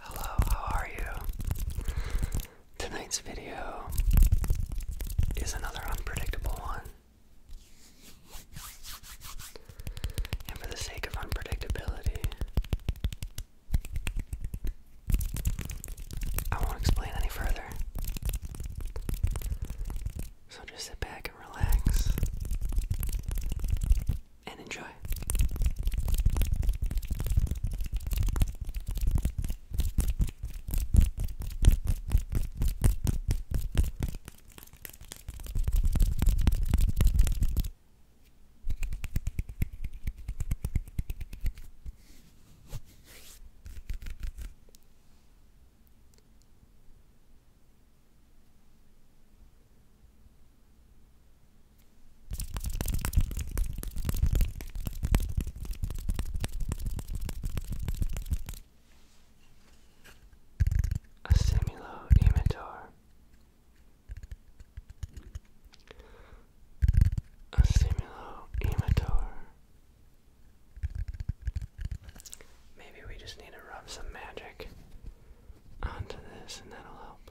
Hello, how are you? Tonight's video is another unpredictable one. And for the sake of unpredictability, I won't explain any further. So just sit back and relax and enjoy. A similar image a stimulometer. Maybe we just need to rub some magic onto this and that'll help.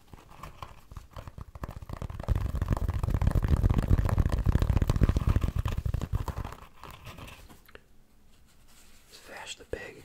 Svash the pig.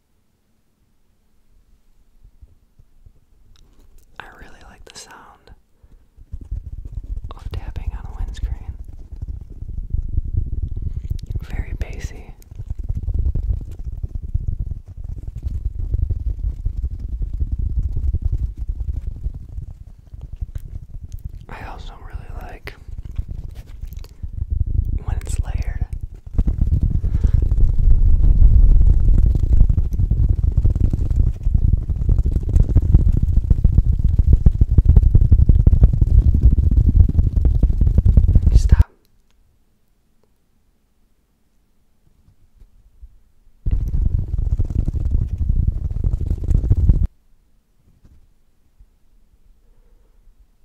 I really like the sound of tapping on a windscreen. Very bassy. I also really like when it's layered. Stop.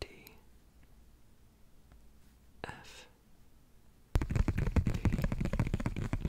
D F D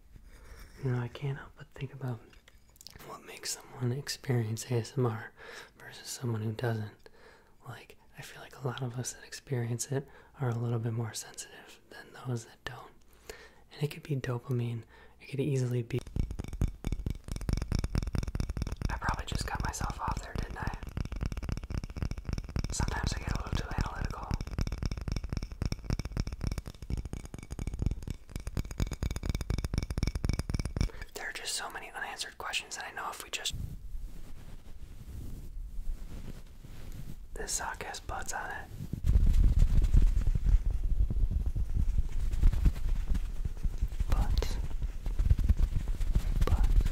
You know, I can't help but think about what makes someone experience ASMR versus someone who doesn't. Like, I feel like a lot of us that experience it are a little bit more sensitive than those that don't. And it could be dopamine, it could easily be. I probably just cut myself off there, didn't I? Sometimes I get a little too analytical. There are just so many unanswered questions, that I know if we just. This sock has buds on it. Buds. Buds.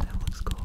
That looks cool.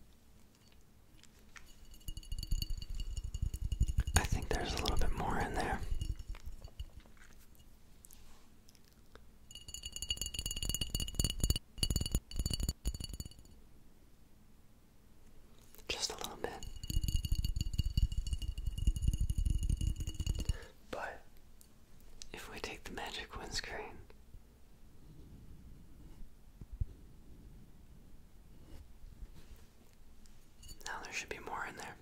I think there's a little bit more in there. Just a little bit. But if we take the magic windscreen now there should be more in there.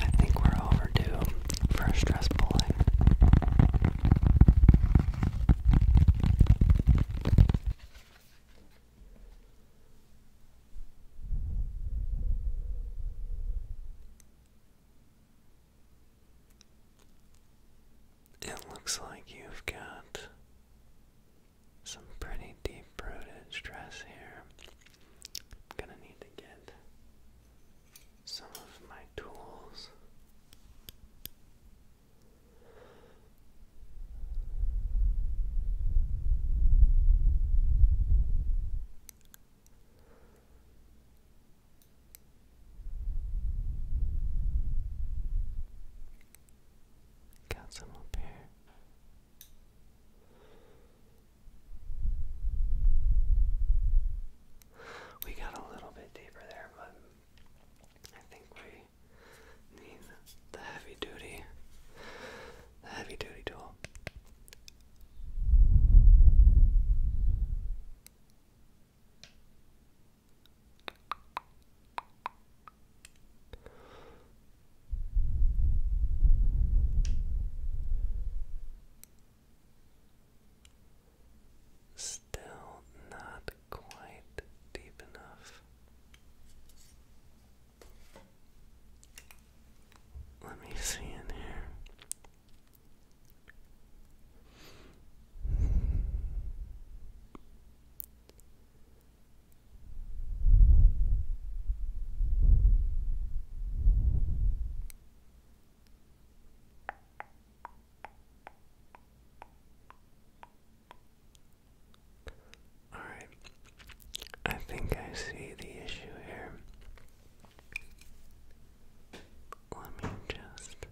I think we're overdue for a stress pulling. It looks like you've got some pretty deep rooted stress here. gonna need to get some of my tools. Got some up here. We got a little bit deeper there, but I think we need the heavy duty, the heavy duty tool. Still not quite deep enough. Let me see in here. All right. I think I see the issue here. Let me just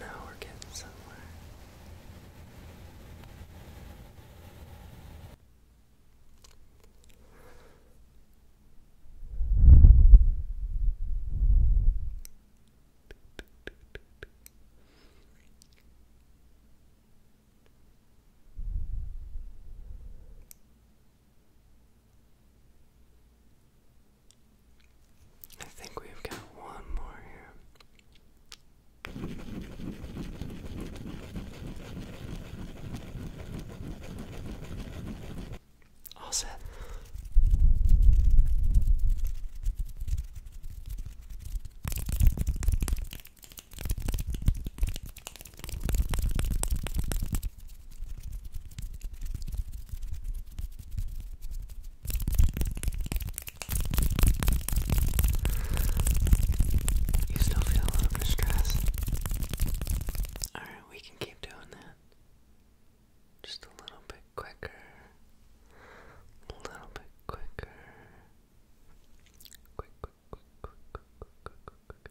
now we're getting somewhere. I think we've got one more here. All set. You still feel a little super Alright, we can keep doing that. Just a little bit quicker. A little bit quicker. quick, quick, quick, quick, quick, quick, quick, quick.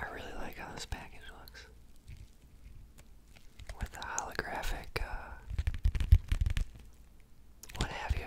I really like how this package looks with the holographic uh, what have you.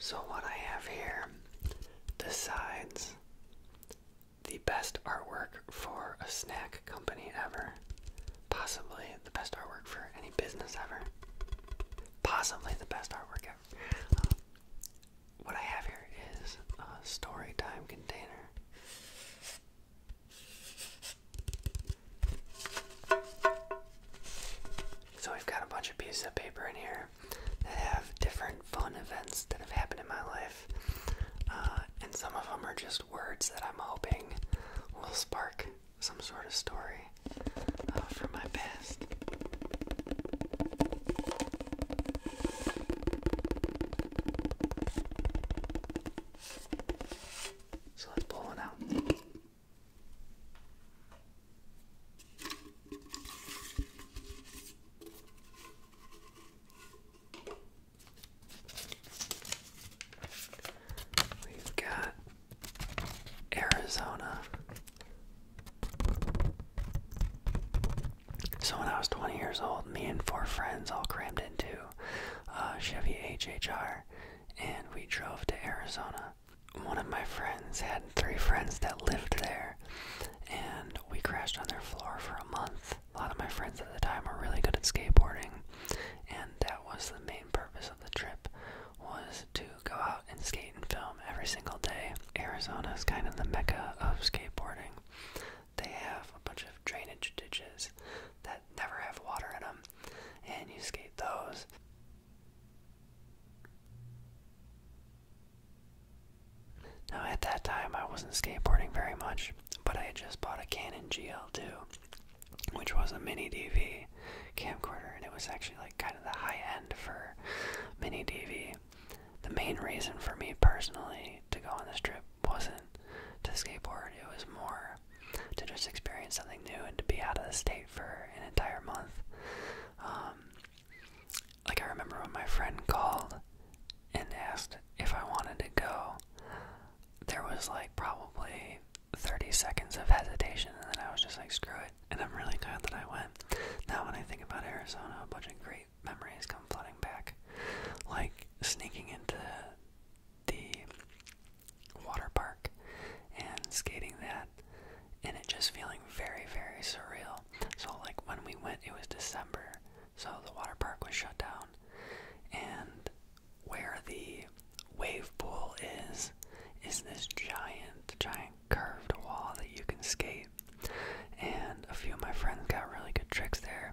So, what I have here, besides the best artwork for a snack company ever. Possibly the best artwork for any business ever. Possibly the best artwork ever. Uh, what I have here is a story time container. So we've got a bunch of pieces of paper in here that have different fun events that have happened in my life. Uh, and some of them are just words that I'm hoping will spark some sort of story uh, from my past. So let's pull one out. We've got Arizona. So when I was 20 years old, me and four friends all crammed into uh, Chevy HHR, and we drove to Arizona. One of my friends had three friends that lived there, and we crashed on their floor for a month. A lot of my friends at the time were really good at skateboarding, and that was the main purpose of the trip was to go out and skate and film every single day. Arizona is kind of the mecca of skateboarding. They have a bunch of drainage ditches that never have water in them, and you skate those. Now, at that time, I wasn't skateboarding very much, but I had just bought a Canon GL2, which was a mini DV camcorder, and it was actually like kind of the high end for mini DV. The main reason for me personally to go on this trip wasn't to skateboard, it was more to just experience something new and to be out of the state for an entire month. Um, like, I remember when my friend called and asked if I wanted to go, there was like probably 30 seconds of hesitation, and then I was just like, screw it. And I'm really glad that I went. Now, when I think about Arizona, a bunch of great memories come flooding back. Like sneaking into the water park and skating that, and it just feeling very, very surreal. So, like, when we went, it was December, so the water park was shut down. And where the wave pool is, is this giant, giant curved wall that you can skate. And a few of my friends got really good tricks there.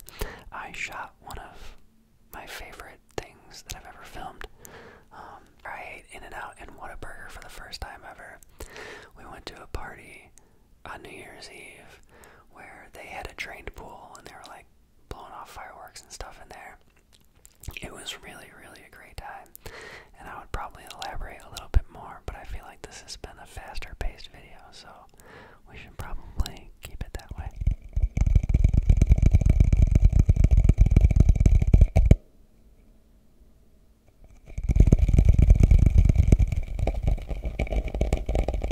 I shot one of my favorite things that I've ever filmed. Um, I ate In-N-Out and Whataburger for the first time ever. We went to a party on New Year's Eve where they had a drained pool and they were like, blowing off fireworks and stuff in there. It was really, really a great time. And I would probably elaborate a little bit more, but I feel like this has been a faster paced video, so we should probably keep it that way.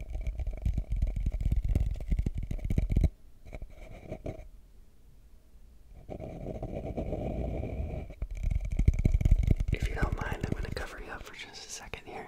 If you don't mind, I'm going to cover you up for just a second here.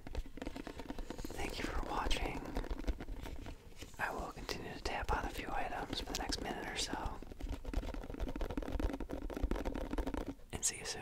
Thank you for watching. I will continue to tap on a few items for the next minute or so. And see you soon.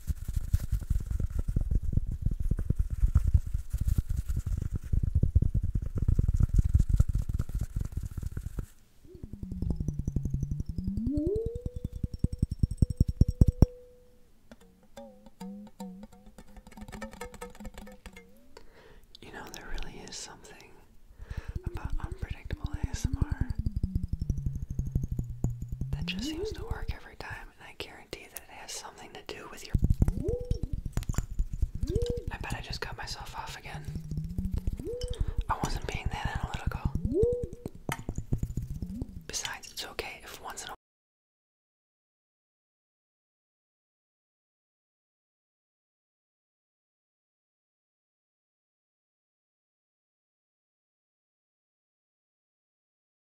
You know, there really is something about unpredictable ASMR that just seems to work every time. I guarantee that it has something to do with your. I bet I just cut myself off again. I wasn't being that analytical. Besides, it's okay if once in a